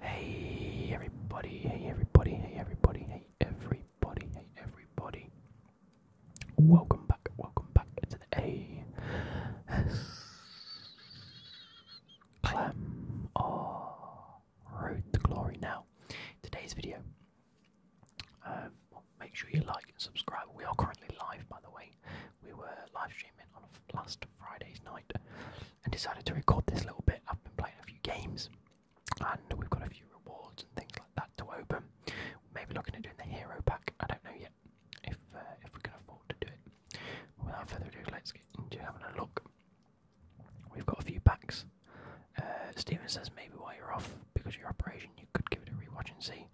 Hey everybody, hey everybody, hey everybody, hey everybody, hey everybody. Welcome back, welcome back to the A S Clam oh, Road to Glory. Now, today's video. Um, make sure you like and subscribe. We are currently live by the way. We were live streaming on last Friday's night and decided to record this little bit. I've been playing a few games and we've got a few rewards and things like that to open. Maybe looking at doing the hero pack. I don't know yet if uh, if we can afford to do it. Without further ado, let's get into having a look. We've got a few packs. Uh, Steven says maybe while you're off because of your operation, you could give it a rewatch and see.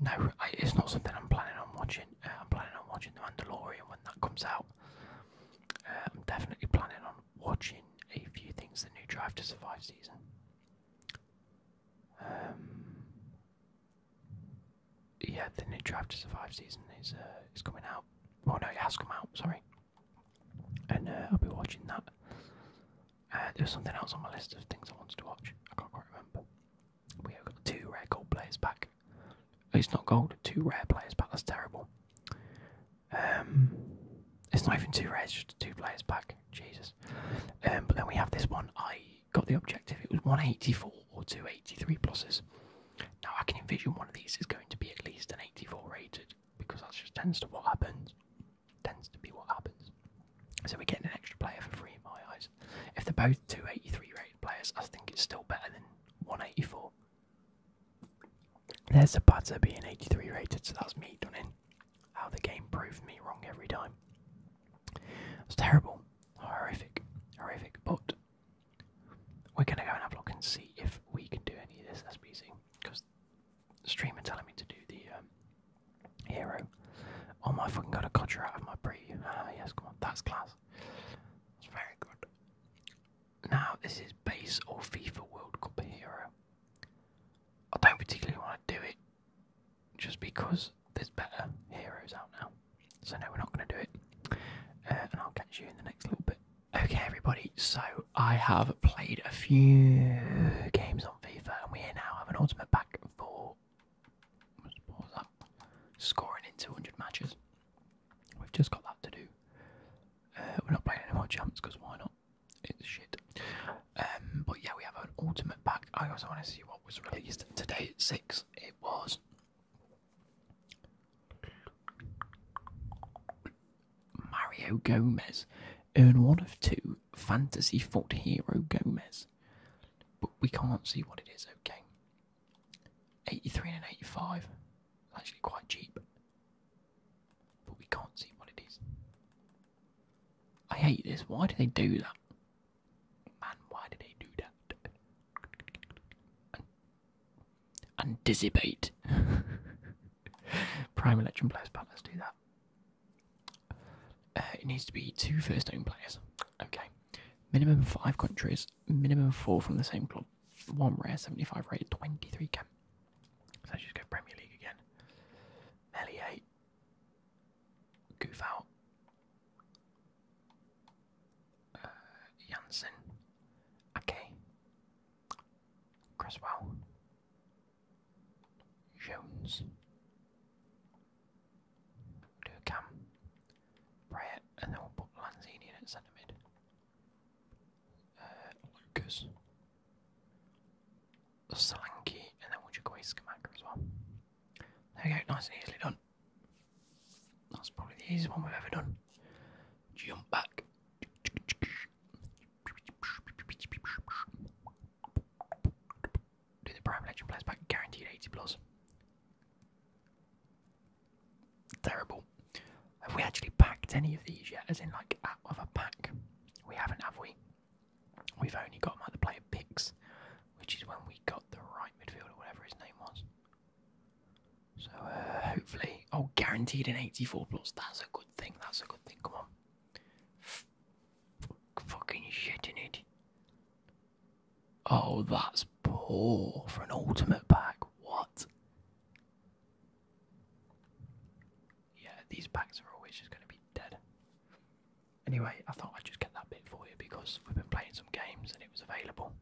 No, it's not something I'm planning on watching. Uh, I'm planning on watching The Mandalorian when that comes out. I'm um, definitely planning on watching a few things the new Drive to Survive season. Um, yeah, the new Drive to Survive season is uh, is coming out. Oh no, it has come out. Sorry, and uh, I'll be watching that. Uh, There's something else on my list of things I wanted to watch. I can't quite remember. We have got two rare players back it's not gold. Two rare players back. That's terrible. Um, it's not even two rare, just two players back. Jesus. Um, but then we have this one. I got the objective. It was 184 or 283 pluses. Now I can envision one of these is going to be at least an 84 rated because that just tends to what happens. Tends to be what happens. So we're getting an extra player for free in my eyes. If they're both 283 rated players, I think it's still better than 184. There's Zapata being 83 rated, so that's me done in. How the game proved me wrong every time. It's terrible. Horrific. Horrific. But we're going to go and have a look and see if we can do any of this as SBC. Because streamer telling me to do the um, hero. Oh my fucking god, a got out of my pre. Ah, yes, come on. That's class else. very good. Now, this is base or FIFA World Cup hero. I don't particularly want to do it just because there's better heroes out now. So, no, we're not going to do it. Uh, and I'll catch you in the next little bit. Okay, everybody, so I have played a few games on FIFA, and we now have an ultimate pack for what was that? scoring in 200 matches. We've just got that to do. Uh, we're not playing any more jumps because why not? It's shit. Um, but yeah, we have an ultimate pack. I also want to see what was released today at six. It was Mario Gomez. Earn one of two fantasy foot hero Gomez. But we can't see what it is, okay? 83 and an 85. Actually, quite cheap. But we can't see what it is. I hate this. Why do they do that? Man, why do they do that? An anticipate. Prime election players, but let's do that. Uh, it needs to be two first home players. Okay. Minimum five countries, minimum four from the same club one rare, 75 rated, 23 cam. So let just go Premier League again. Melier, Goof out, uh, Ake, Cresswell, Jones, Durkam, Brett, and then we'll put Lanzini in at centre mid. Uh, Lucas. Solanke, and then we'll just go Iskamaka as well. There we go, nice and easily done. That's probably the easiest one we've ever done. Jump back. Do the prime election players back guaranteed 80 plus. Terrible. Have we actually packed any of these yet? As in, like, out of a pack? We haven't, have we? We've only got like, the player picks, which is when we got the right midfielder, whatever his name was. So, uh, hopefully. Oh, guaranteed an 84 plus. That's a good thing. That's a good thing. Come on. fucking shit in it. Oh, that's poor for an ultimate pack. What? Yeah, these packs are always just going to be dead. Anyway, I thought I'd just get that bit for you because we've been playing some games and it was available.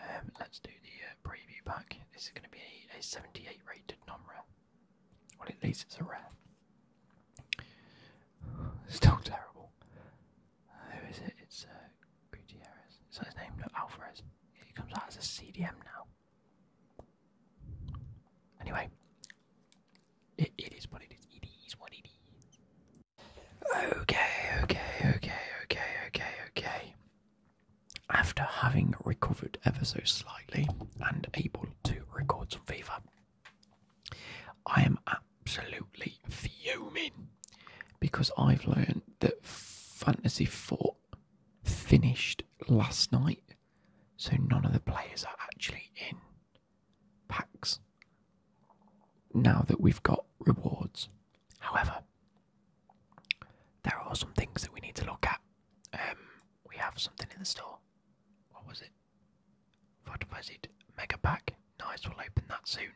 Um, let's do the uh, preview pack. This is going to be a, 78 rated non rare. Well, at least it's a rare. Still terrible. Who is it? It's uh, Gutierrez. Is that his name? No, Alvarez. He comes out as a CDM now. Anyway, it is what it is. It is what it is. Okay, okay, okay, okay, okay, okay. After having recovered ever so slightly and able to record some fever, I am at absolutely fuming because I've learned that Fantasy Four finished last night, so none of the players are actually in packs now that we've got rewards. However, there are some things that we need to look at. Um, we have something in the store. What was it? What was it? Mega pack. Nice, we'll open that soon.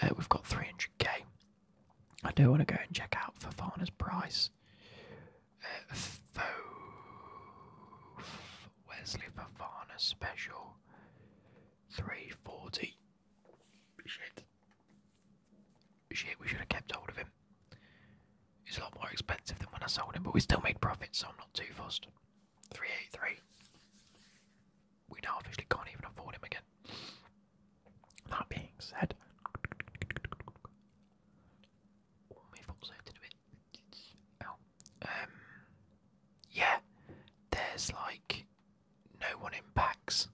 Uh, we've got 300k. I do want to go and check out for Fafana's price. Uh, Wesley Fafana special. 340. Shit. we should have kept hold of him. He's a lot more expensive than when I sold him, but we still made profit, so I'm not too fussed. 383 we now officially can't even afford him again. That being said, oh, um, yeah, there's like no one in packs.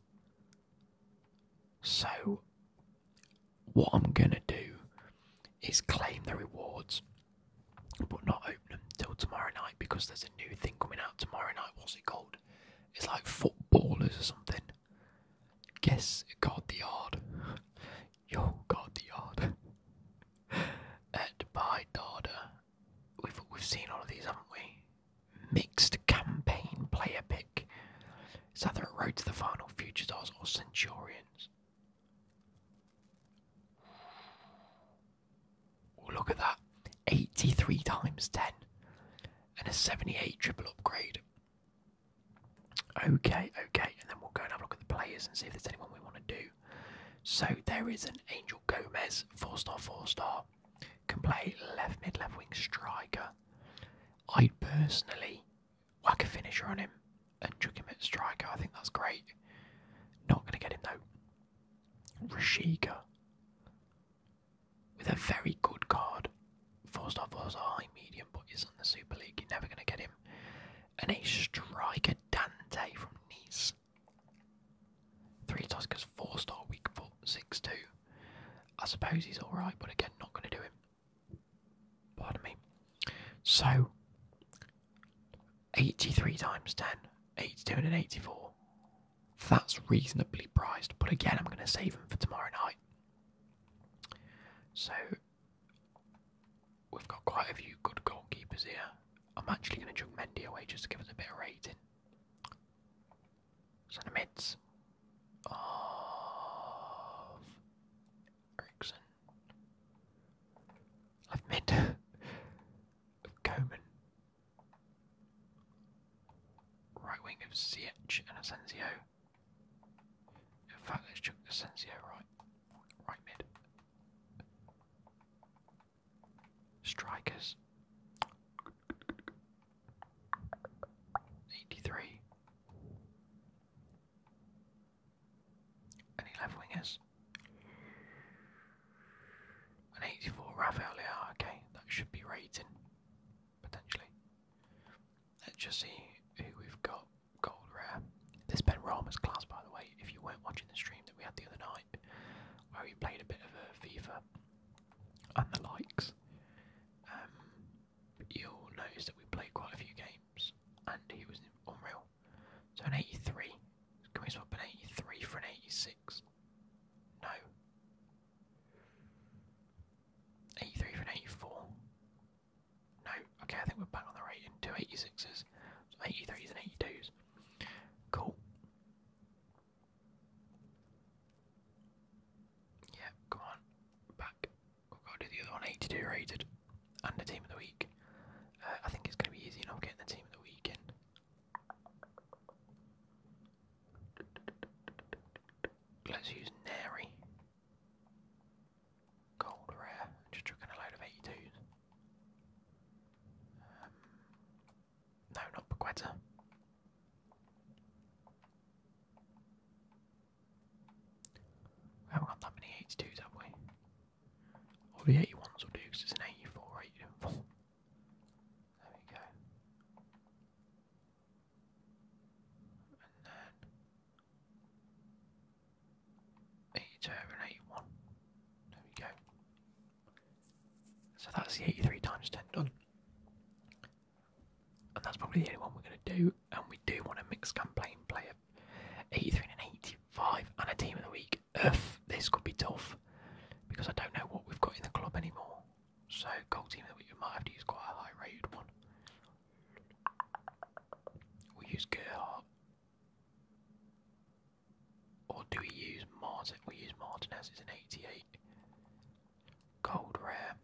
So, what I'm gonna do is claim the rewards, but not open until tomorrow night because there's a new thing coming out tomorrow night. What's it called? It's like footballers or something. Guess guard the yard. Yo, guard the yard. and by Dada, we've we've seen all of these, haven't we? Mixed campaign player pick. It's either a road to the final, futures odds, or Centurions look at that. 83 times 10. And a 78 triple upgrade. Okay, okay. And then we'll go and have a look at the players and see if there's anyone we want to do. So there is an Angel Gomez, 4 star, 4 star. Can play left mid, left wing striker. i personally like a finisher on him and chuck him at striker. I think that's great. Not going to get him though. Rashika with a very good card. Four star, four a high medium, but is on the Super League. You're never going to get him. And a striker, Dante from Nice. Three Tuskers, four star, weak foot, six two. I suppose he's alright, but again, not going to do him. Pardon me. So, 83 times 10, 82 and 84. That's reasonably priced, but again, I'm going to save him for tomorrow night. So, we've got quite a few good goalkeepers here. I'm actually going to chuck Mendy away just to give us a bit of rating. Centre mids of Ericsson. Left mid of Coman. Right wing of Ziyech and Asensio. In fact, let's chuck Asensio right, right mid. Strikers. 83. Any left wingers? An 84 Rafael okay, that should be rating, potentially. Let's just see who we've got. Gold rare. This Ben Rama's class, by the way, if you weren't watching the stream that we had the other night, where we played a bit of a FIFA and the likes, um, you'll notice that we played quite a few games, and he was unreal. So an 83, can we swap an 83 for an 86? six. No. 83 for 84. No, okay, I think we're back on the right in 83s and 82s. Cool. Yeah, come on, back. We've got to do the other one, 82 rated, and team of the week. Uh, I think it's going to be easy enough getting the team of the week Let's use Nary. Gold rare. Just chucking a load of 82s. Um, no, not Paquetta. We haven't got that many 82s, have we? All the 81s will do because it's an 84, there we go. And then eight and eight There we go. So that's the eighty-three times ten done. And that's probably the only one we're gonna do, and we do want a mixed campaign player. 83 and 85 and a team of the week like, this could be tough because I don't know what we've got in the club anymore. So, gold team, that we might have to use quite a high rated one. We use Gerhardt. Or do we use Martin? We use Martinez, it's an 88. Gold rare.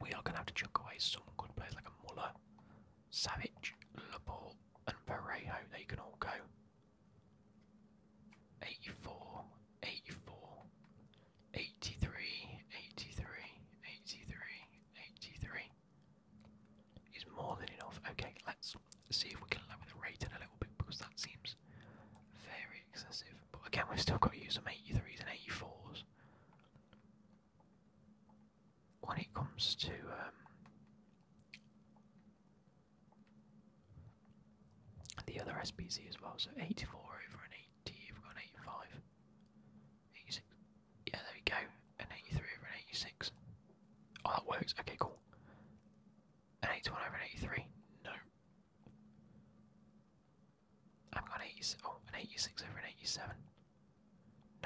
We are going to have to chuck away some good players like a Muller, Savage, Laporte, and Parejo. They can all go. 84, 83, 83, 83, 83 is more than enough. Okay, let's see if we can lower the rating a little bit because that seems very excessive. But again, we've still got to use some 83s and 84s. When it comes to um, the other SPC as well, so 84 over an 80, we've got an 85. 86. Yeah, there we go. An 83 over an 86. Oh, that works. Okay, cool. An 81 over an 83. No. I've got an 86. Oh, an 86 over an 87.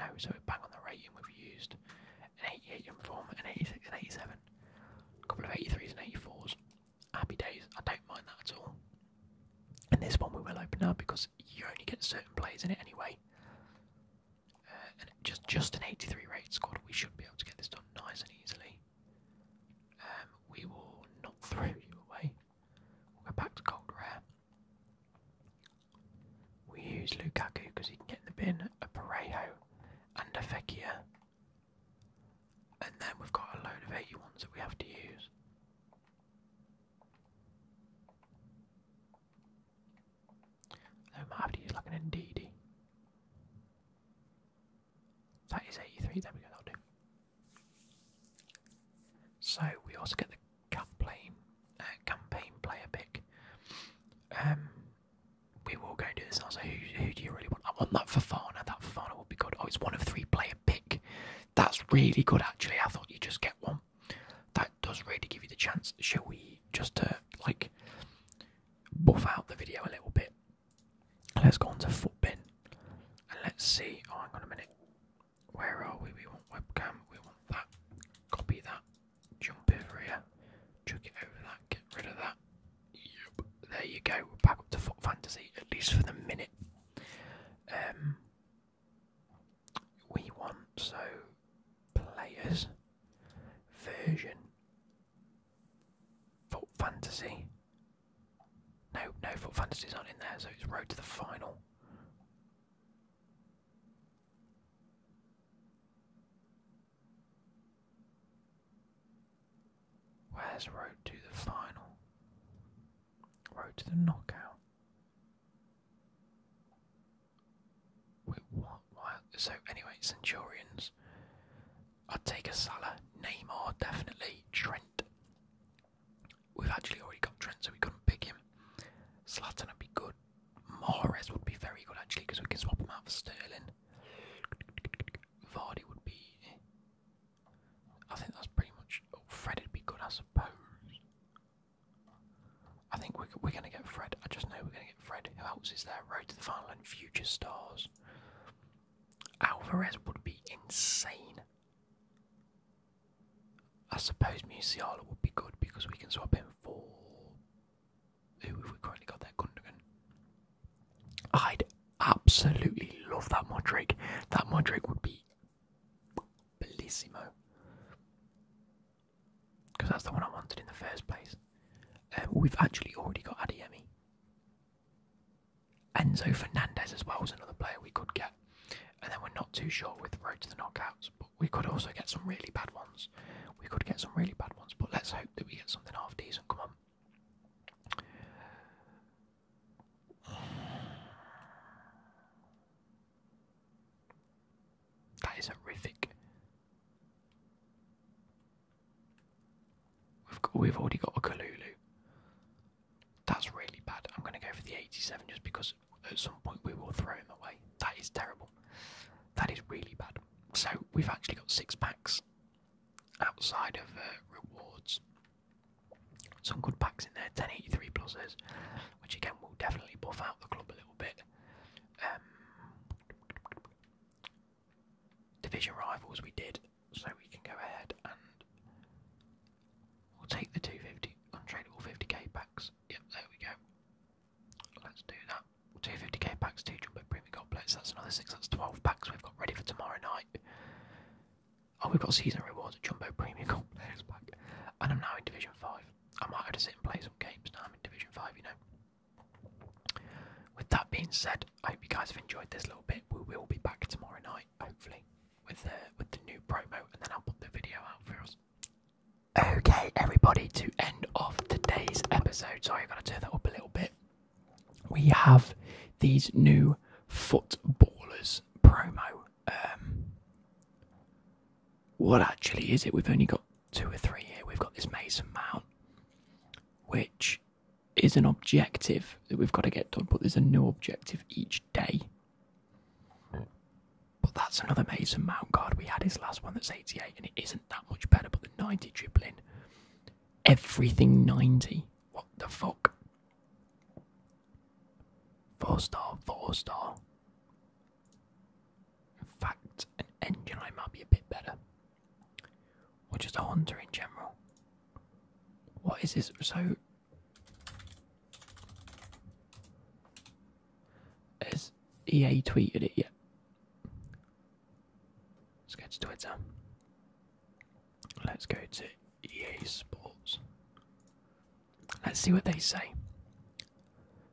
No, so we're back on the rating we've used. An 88 in form, an 86 and 87 a couple of 83s and 84s. Happy days. I don't mind that at all. And this one we will open up because you only get certain plays in it anyway. Uh, and just just an 83 rate squad. We should be able to get this done nice and easily. Um, we will not throw you away. We'll go back to cold rare. We use Lukaku because he can get in the bin. A Parejo and a Fekir. And then we've got a load of 81s that we have to use. I might have to like an Ndidi. That is 83, there we go, that'll do. So we also get the campaign, uh, campaign player pick. Um, we will go and do this. And I was like, who, do you really want? I want that for Fafana. That Fafana will be good. Oh, it's one of three player pick. That's really good, actually. I thought you just get one. That does really give you the chance. Shall we just to uh, like buff out the video a little bit? Let's go on to Footbin and let's see. Oh, hang on a minute. Where are we? We want webcam. We want that. Copy that. Jump over here, chuck it over that, get rid of that. There you go. We're back up to Foot Fantasy, at least for the minute. Um, we want so players version Foot Fantasy. No, no Foot Fantasy's not in there, so it's Road to the Final. Where's road to the final? Road to the knockout. Wait, what? So anyway, Centurions. I'd take a Salah, Neymar definitely, Trent. We've actually already got Trent, so we couldn't pick him. Slatten would be good, Mahrez would be very good actually because we can swap him out for Sterling. Vardy would be. I think that's pretty much. Oh, Fred would be good, I suppose. I think we're, we're going to get Fred. I just know we're going to get Fred. Who else is there? Road to the final and future stars. Alvarez would be insane. I suppose Musiala would be good because we can swap him for who have we currently got there? Gundogan. I'd absolutely love that Modric. That Modric would be bellissimo. Because that's the one I wanted in the first place. Uh, we've actually already got Ademi. Enzo Fernandez as well as another player we could get. And then we're not too sure with the road to the knockouts, but we could also get some really bad ones. We could get some really bad ones, but let's hope that we get something half decent. Come on. That is horrific. We've we've already got a Kalulu. That's really bad. I'm going to go for the 87 just because at some point we will throw him away. That is terrible. That is really bad. So we've actually got six packs outside of uh, rewards. Some good packs in there, 1083 pluses, which again will definitely buff out the club a little bit. Um, division rivals we did, so we can go ahead and we'll take the 250 untradeable 50k packs. Yep, there we go. Let's do that. 250k packs, two jumbo premium gold packs. That's another six. That's 12 packs we've got ready for tomorrow night. Oh, we've got season rewards at Jumbo Premium Gold packs Pack. And I'm now in Division 5. I might have to sit and play some games now I'm in Division 5, you know. With that being said, I hope you guys have enjoyed this little bit. We will be back tomorrow night, hopefully, with, uh, with the new promo, and then I'll put the video out for us. Okay, everybody, to end off today's episode, sorry, I've got to turn that up a little bit. We have these new footballers promo. Um, what actually is it? We've only got two or three here. We've got this Mason Mount, which is an objective that we've got to get done, but there's a new objective each day. But that's another Mason Mount card. We had his last one that's 88, and it is isn't that much better, but the 90 dribbling, everything 90. What the fuck? Four star, four star. In fact, an engine I might be a bit better. Or just a hunter in general. What is this? So has EA tweeted it yet? Let's go to Twitter. Let's go to EA Sports. Let's see what they say.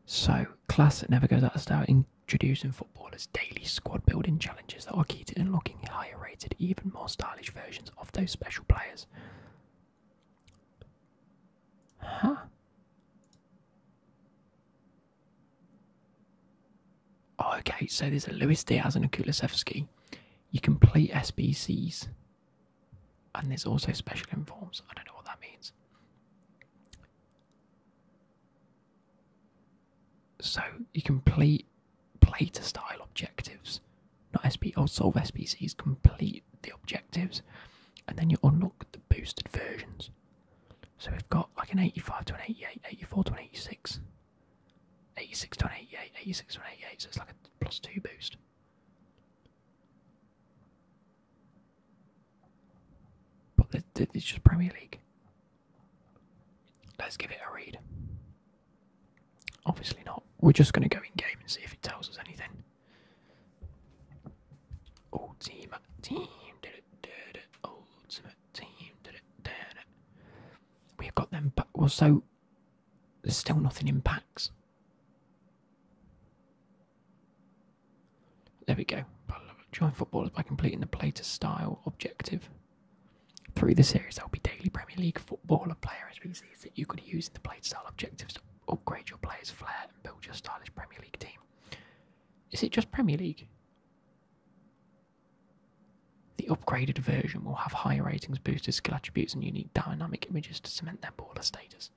So, class that never goes out of style, introducing footballers daily squad building challenges that are key to unlocking higher rated, even more stylish versions of those special players. Huh? Oh, okay, so there's a Luis Diaz and a Kulisevsky. You complete SBCs, and there's also special informs. I don't know what that means. So you complete play to style objectives, not SP or oh, solve SBCs. Complete the objectives, and then you unlock the boosted versions. So we've got like an 85 to an 88, 84 to an 86, 86 to an 88, 86 to an 88, so it's like a plus 2 boost. But it's just Premier League. Let's give it a read. Obviously not. We're just going to go in game and see if it tells us anything. Ultimate team did it, did it. Ultimate team did it, did it. We've got them back. Well, so there's still nothing in packs. There we go. Join footballers by completing the play to style objective. Through the series, there will be daily Premier League footballer player SBCs that you could use in the play to style objectives to upgrade your player's flair and build your stylish Premier League team. Is it just Premier League? The upgraded version will have higher ratings, boosted skill attributes, and unique dynamic images to cement their baller status.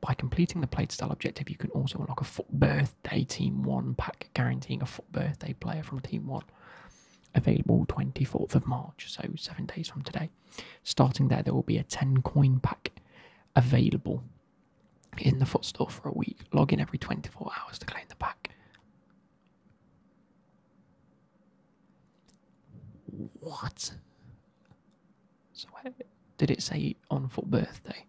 By completing the played style objective, you can also unlock a foot birthday Team 1 pack, guaranteeing a foot birthday player from Team 1. Available 24th of March, so seven days from today. Starting there, there will be a 10 coin pack available in the footstore for a week. Log in every 24 hours to claim the pack. What? did it say on foot birthday?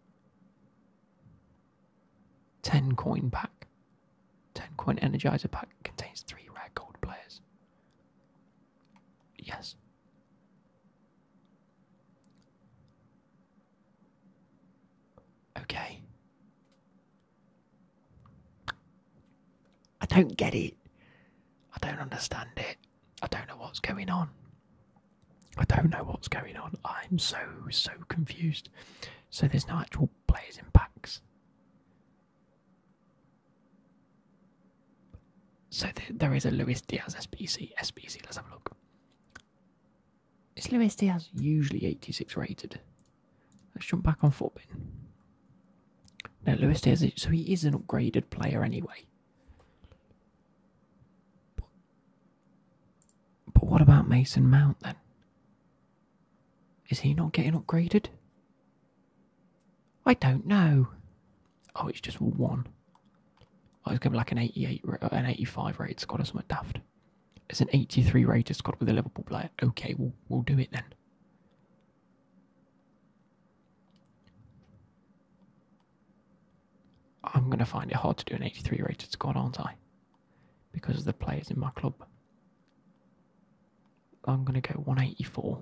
10 coin pack. 10 coin energizer pack contains three rare gold players. Yes. Okay. I don't get it. I don't understand it. I don't know what's going on. I don't know what's going on. I'm so, so confused. So there's no actual players in packs. So there is a Luis Diaz SBC. SBC, let's have a look. Is Luis Diaz usually 86 rated? Let's jump back on Footbin. No, Luis Diaz, so he is an upgraded player anyway. but what about Mason Mount then? Is he not getting upgraded? I don't know. Oh, it's just one. I was going like an 88, uh, an 85 rated squad or something daft. It's an 83 rated squad with a Liverpool player. Okay, we'll, we'll do it then. I'm going to find it hard to do an 83 rated squad, aren't I? Because of the players in my club. I'm going to go 184.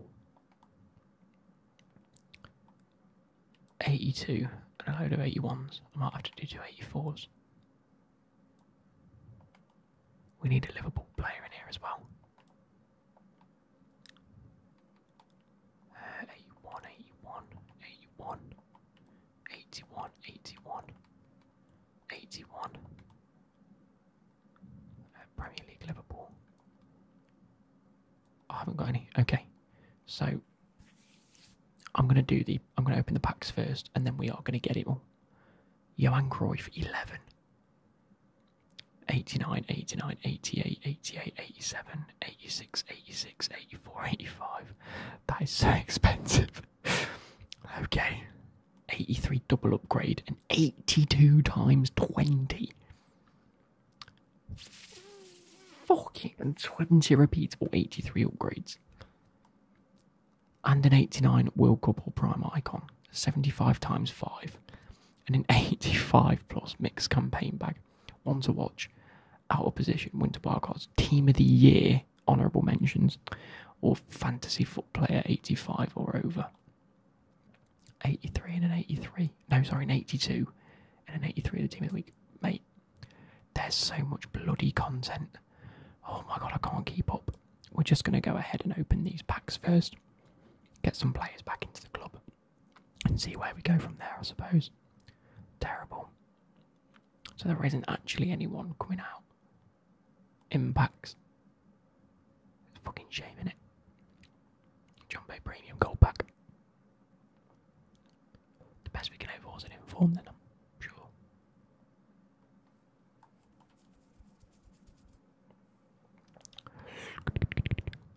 82 and a load of 81s. I might have to do two 84s. We need a Liverpool player in here as well. 81, 81, 81, 81, 81, 81. Premier League Liverpool. I haven't got any. Okay, so I'm gonna do the. I'm gonna open the packs first, and then we are gonna get it all. Johan Cruyff, 11. 89, 89, 88, 88, 87, 86, 86, 84, 85. That is so expensive. okay. 83 double upgrade and 82 times 20. Fucking 20 repeats or 83 upgrades. And an 89 World Cup or Prime Icon. 75 times 5. And an 85 plus mixed campaign bag. One to watch. Out of position. Winter wild Team of the year. Honourable mentions. Or fantasy foot player 85 or over. 83 and an 83. No, sorry, an 82 and an 83 the team of the week. Mate, there's so much bloody content. Oh my god, I can't keep up. We're just going to go ahead and open these packs first, get some players back into the club, and see where we go from there, I suppose. Terrible. So there isn't actually anyone coming out Impacts. packs. It's fucking shame, innit? Jumbo Premium Gold Pack. The best we can hope is an informed, I'm sure.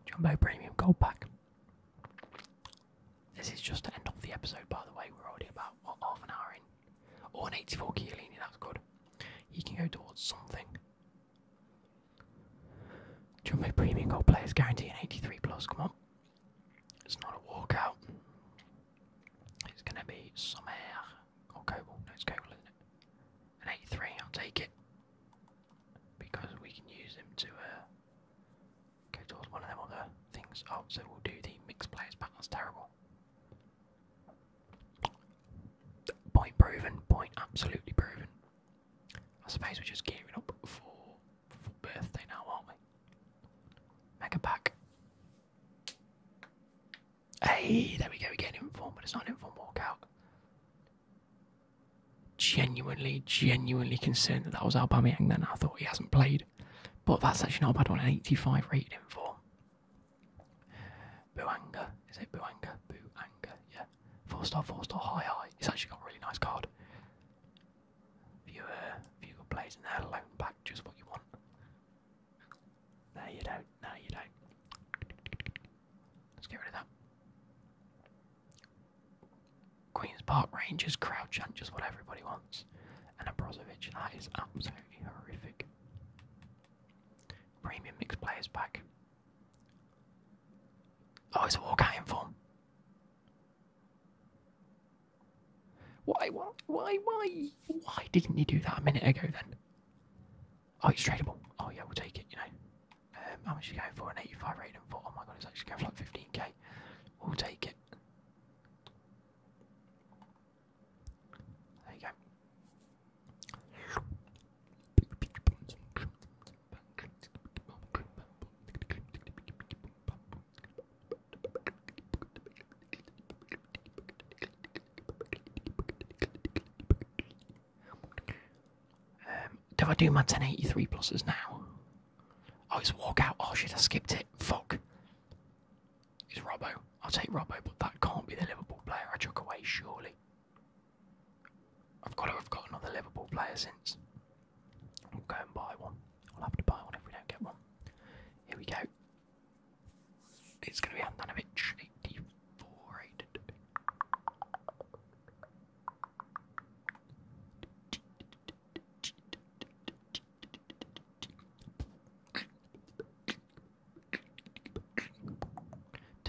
Jumbo Premium Gold Pack. This is just the end of the episode, by the way. We're already about, half an hour in? Or oh, an 84 Chiellini, that's good. You can go towards something. Jumbo Premium Gold Players guarantee an 83 plus, come on. It's not a walkout. It's gonna be somewhere. air. Or cobalt, no it's isn't it? An 83, I'll take it. Because we can use them to uh, go towards one of them other things. Oh, so we'll do the mixed players but that's terrible. Point proven, point absolutely proven. I suppose we're just gearing up for birthday now, aren't we? Mega pack. Hey, there we go. We get inform, but it's not an Walk out. Genuinely, genuinely concerned that that was Aubameyang. Then I thought he hasn't played, but that's actually not a bad one. an 85 rated for. Buanga, is it Buanga? Buanga, yeah. Four star, four star, high, high. It's actually got a really nice card. If you, uh, if you got players in there, loan back just what you want. No, you don't. No, you don't. Let's get rid of that. Queen's Park Rangers, Crouch, and just what everybody wants. And a Brozovic, that is absolutely horrific. Premium mixed players back. Oh, it's a walk in form. Why, why, why, why, why didn't you do that a minute ago then? Oh, it's tradeable. Oh, yeah, we'll take it, you know. Um, how much are you going for? An 85 rating for. Oh my god, it's actually going for like 15k. We'll take it. There you go. Um, do I do my 1083 pluses now? Oh, it's walkout. Oh shit, I skipped it. Fuck. It's Robbo. I'll take Robbo, but that can't be the Liverpool player I took away, surely. I've got to have got another Liverpool player since. I'm going to buy one. I'll have to buy one if we don't get one. Here we go. It's going to be Andanovic 84, 82.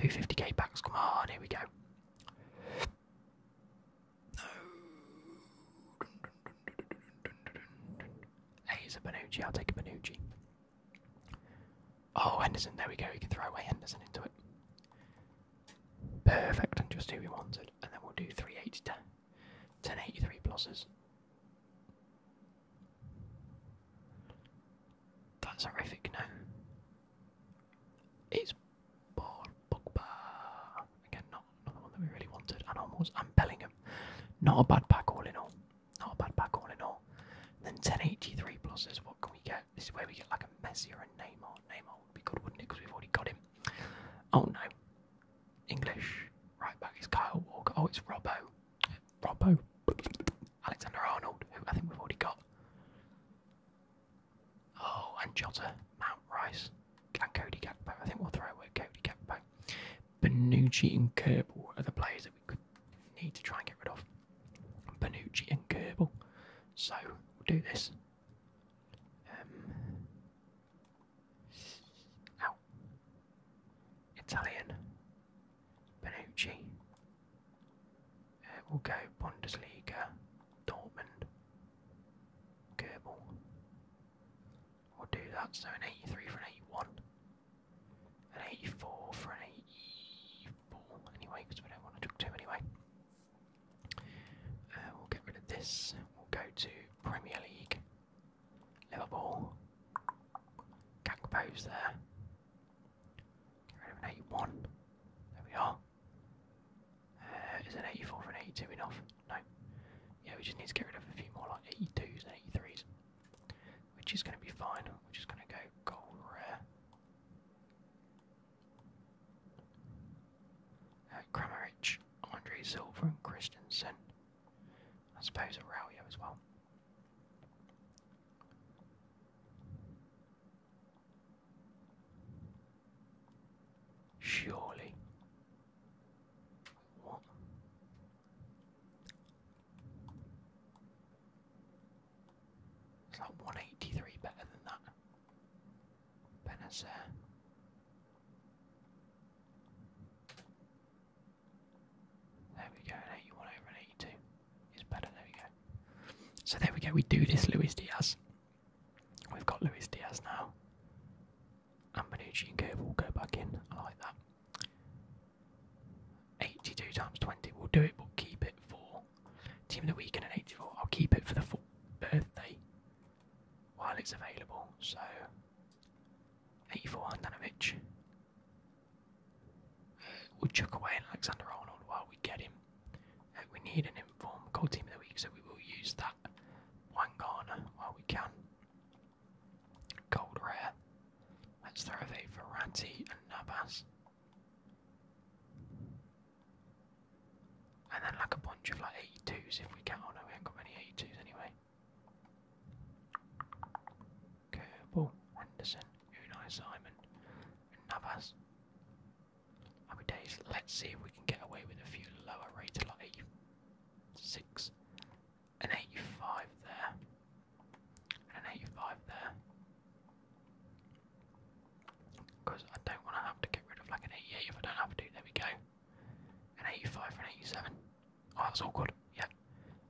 Two fifty K packs, come on, here we go. No. A is a Benucci. I'll take a Benucci. Oh, Henderson. There we go. You can throw away Henderson into it. Perfect. And just who we wanted. And then we'll do 380 to 1083 pluses. That's horrific, no? It's Paul Again, not, not the one that we really wanted. And almost, and Bellingham. Not a bad pack all in all. Not a bad pack all in all. then 1083 pluses, what can we get? This is where we get like a Messi or a Neymar. Neymar would be good, wouldn't it? Because we've already got him. Oh no. English. Right back is Kyle Walker. Oh, it's Robo. Robo. Alexander Arnold, who I think we've already got. Oh, and Jota, Mount Rice, and Cody Gakpo. I think we'll throw away Cody Gakpo. Benucci and Kerbal are the players that we need to try and get rid of. Benucci and Kerbal. So we'll do this. Um, Italian. Benucci. Uh, we'll go Bundesliga, Dortmund, Goebel. We'll do that, so an 83 for an 81. An 84 for an 84, anyway, because we don't want to took two anyway. Uh, we'll get rid of this, we'll go to Premier League. Liverpool. Gagpo's there. Get rid of an 81. There we are. Uh, is an 84 for an 82 enough? No. Yeah, we just need to get rid of a few more like 82s and 83s, which is going to be fine. We're just going to go gold rare. Uh, Andre Silver, and Christensen. I suppose Araujo as well. Surely. What? It's like 183 better than that. Benazer. There we go, an 81 over an better, there we go. So there we go, we do this Luis Diaz. We've got Luis Diaz now. And Manucci and Kerr will go back in. I like that. 82 times 20. We'll do it, but keep it for Team the weekend and 84. I'll keep it for the full birthday while it's available. So, 84 Handanovic. Uh, we'll chuck away Alexander Arnold while we get him. Uh, we need an informed goal team of the week, so we will use that Wangana while we can. Gold rare. Let's throw away Verratti and Navas. And then like a bunch of like 82s if we can. Oh, we have got many 82s anyway. Kerbal, Henderson, Unai Simon, and Navas. How days? Let's see if we can get away with a few lower rates, like 86, an 85 there, and an 85 there. Because I don't want to have to get rid of like an 88 if I don't have to. There we go. An 85 for an 87. Oh, that's awkward. Yeah.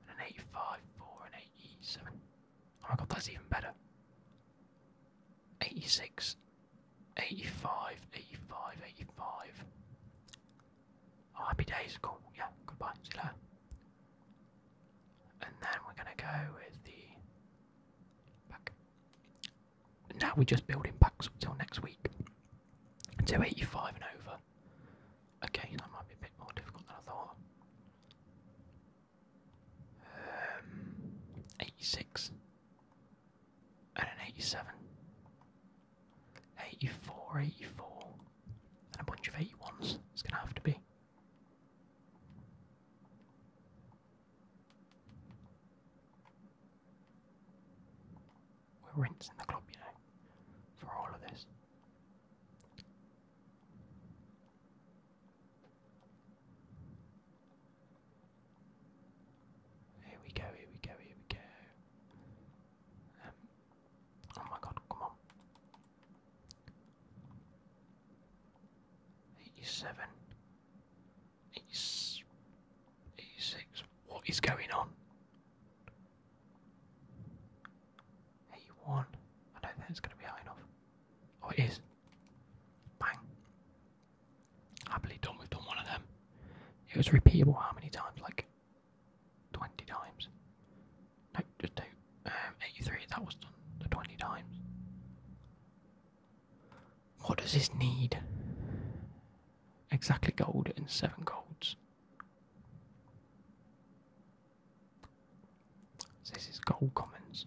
And an 85 four, and 87. Oh my god, that's even better. 86, 85, 85, 85. Oh, happy days, cool. Yeah, goodbye, see you later. And then we're going to go with the pack. Now we're just building packs up till next week. To 85 and over. Okay, that might be a bit more difficult than I thought. Um, 86 and an 87, 84, 84, and a bunch of 81s. It's going to have to be. We're rinsing the club, you know, for all of this. Here we go, here we go, here we go. Um, oh my god, come on. 87. 86. 86. What is going on? 81. I don't think it's going to be high enough. Oh, it is. Bang. Happily done, we've done one of them. It was repeatable how many times? Like 20 times. No, just two. Um, 83, that was done the 20 times. What does this need? Exactly gold and seven golds. this is gold commons.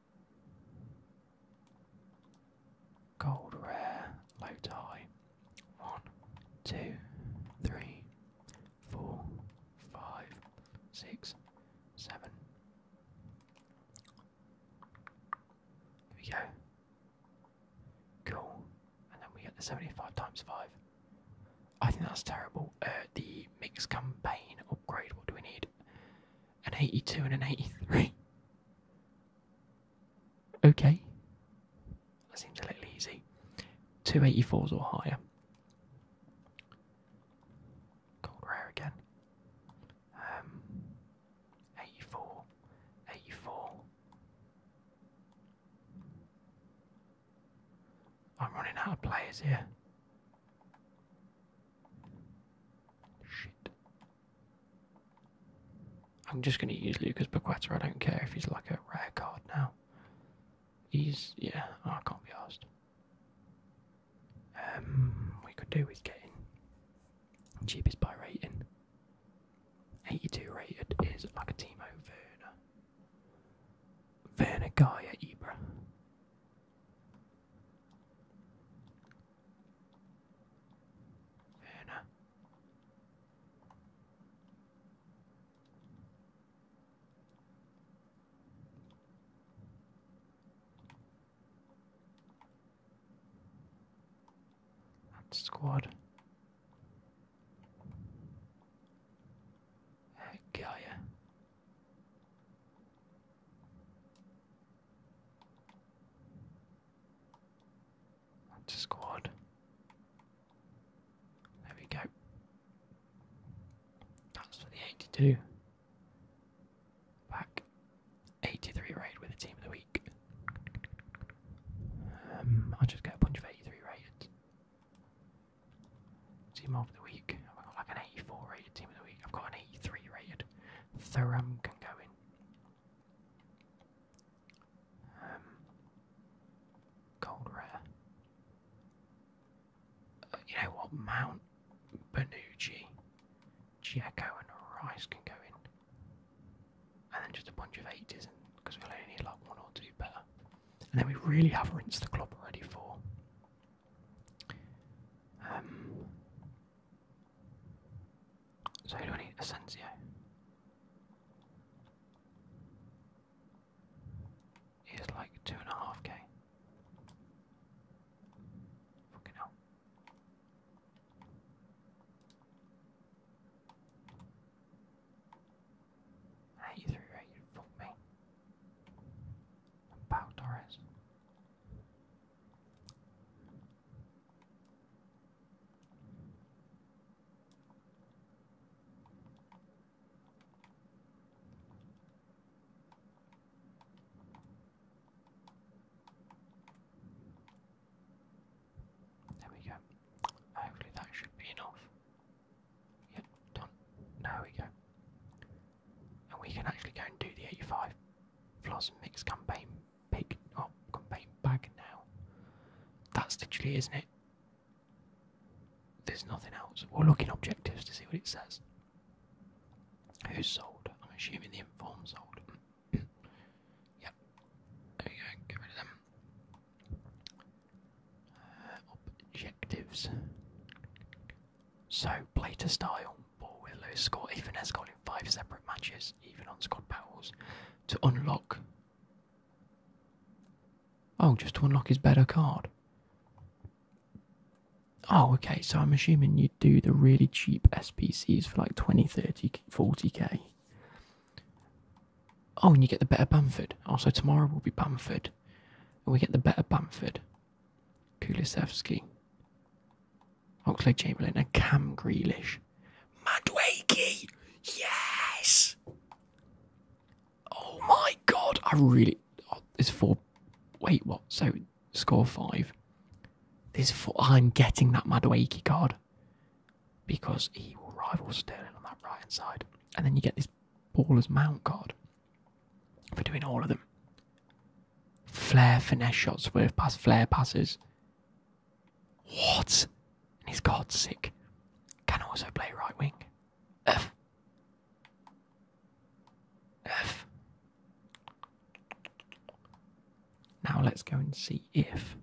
Gold rare, low tie. One, two, three, four, five, six, seven. There we go. Cool. And then we get the 75 times 5. I think that's terrible. Uh, the mix campaign upgrade, what do we need? an 82 and an 83. Okay. That seems a little easy. Two eighty-fours or higher. Gold rare again. Um, I'm running out of players here. Shit. I'm just going to use Lucas Paqueta. I don't care if he's like a rare card now. He's, yeah, oh, I can't be asked. Um, we could do with getting cheapest by rating. 82 rated is like a Timo Werner. Werner Gaia Ibra. Anna. squad. That Yeah. That's squad. There we go. That's for the 82. Back 83 raid with the team of the week. Um, I'll just get a bunch of 83 rated. Team of the week. I've got like an 84 rated team of the week. I've got an 83 rated. Thuram can go in. Um, cold rare. Uh, you know what? Mount Benucci, Giaco, and Rice can go in. And then just a bunch of 80s, because we'll only need like one or two better. And then we really have rinsed the club ready for um, so who do I need? Asensio. He like two and a half K. Fucking hell. Eighty three me. And Torres. There we go. Hopefully that should be enough. Yep, done. There we go and we can actually go and do the 85 floss mix campaign big oh campaign bag now. That's literally isn't it? There's nothing else. We'll look in objectives to see what it says. Who's sold? I'm assuming the inform sold. yep. There we go, get rid of them. Uh, objectives. So, play to style, ball with lowest score, even has goal in five separate matches, even on squad battles. To unlock. Oh, just to unlock his better card. Oh, okay, so I'm assuming you do the really cheap SPCs for like 20, 30, 40k. Oh, and you get the better Bamford. Also, oh, tomorrow will be Bamford. And we get the better Bamford. Kulisevsky, Oxley Chamberlain, and Cam Grelish. Madweki! Yes! Oh my god, I really. Oh, it's four. Wait, what? So, score five. This four. I'm getting that Madweki card because he will rival Sterling on that right hand side. And then you get this Baller's Mount card for doing all of them. flair finesse shots, worth pass, flair passes. What? And he's god sick. Can also play right wing. F. F. Now let's go and see if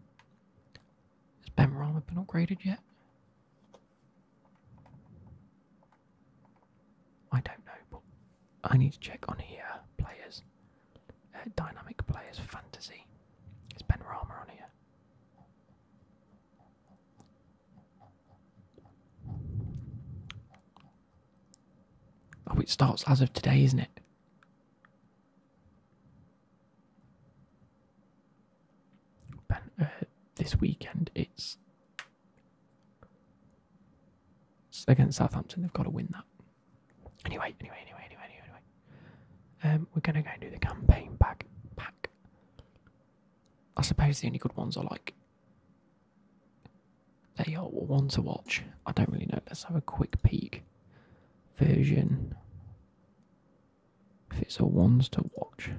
has Ben Rama been upgraded yet? I don't know, but I need to check on here. Players, uh, dynamic players, fantasy. Is Ben Rama on here? Oh, it starts as of today, isn't it? Uh, this weekend it's against Southampton. They've got to win that. Anyway, anyway, anyway, anyway, anyway, anyway. Um, we're gonna go and do the campaign bag pack. I suppose the only good ones are like they are one to watch. I don't really know. Let's have a quick peek. Version. If it's a ones to watch,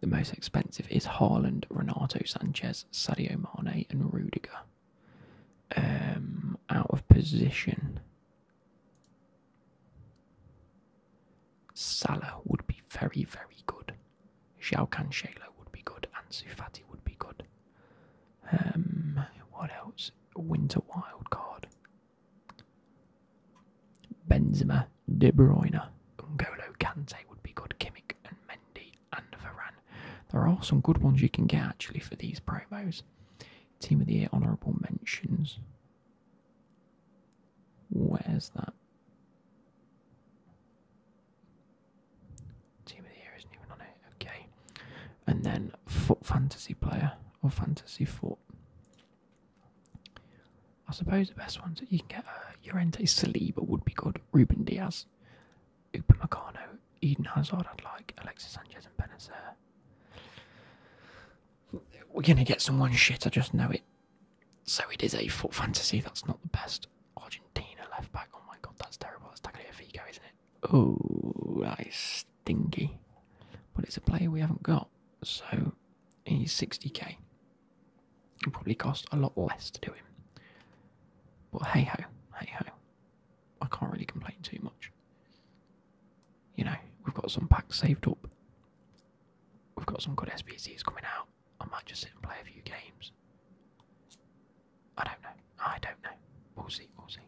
the most expensive is Haaland, Renato Sanchez, Sadio Mane, and Rudiger. Um, out of position, Salah would be very, very good. Xiao Cancelo would be good, and Sufati would be good. Um, what else? Winter wild card. Benzema, De Bruyne, N'Golo Kante would be good, Kimmich and Mendy and Varane. There are some good ones you can get actually for these promos. Team of the Year honourable mentions. Where's that? Team of the Year isn't even on it, okay. And then Foot Fantasy Player or Fantasy Foot. I suppose the best ones that you can get uh, Llorente Saliba would be good. Ruben Diaz, Upamecano, Eden Hazard. I'd like Alexis Sanchez and Benacer. We're gonna get someone shit. I just know it. So it is a foot fantasy. That's not the best. Argentina left back. Oh my god, that's terrible. That's Tagliafico, isn't it? Oh, that is stinky. But it's a player we haven't got. So he's 60k. It probably cost a lot less to do it, But hey ho, hey ho. I can't really complain too much. You know, we've got some packs saved up. We've got some good SPCs coming out. I might just sit and play a few games. I don't know. I don't know. We'll see, we'll see.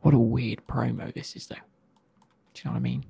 What a weird promo this is though. Do you know what I mean?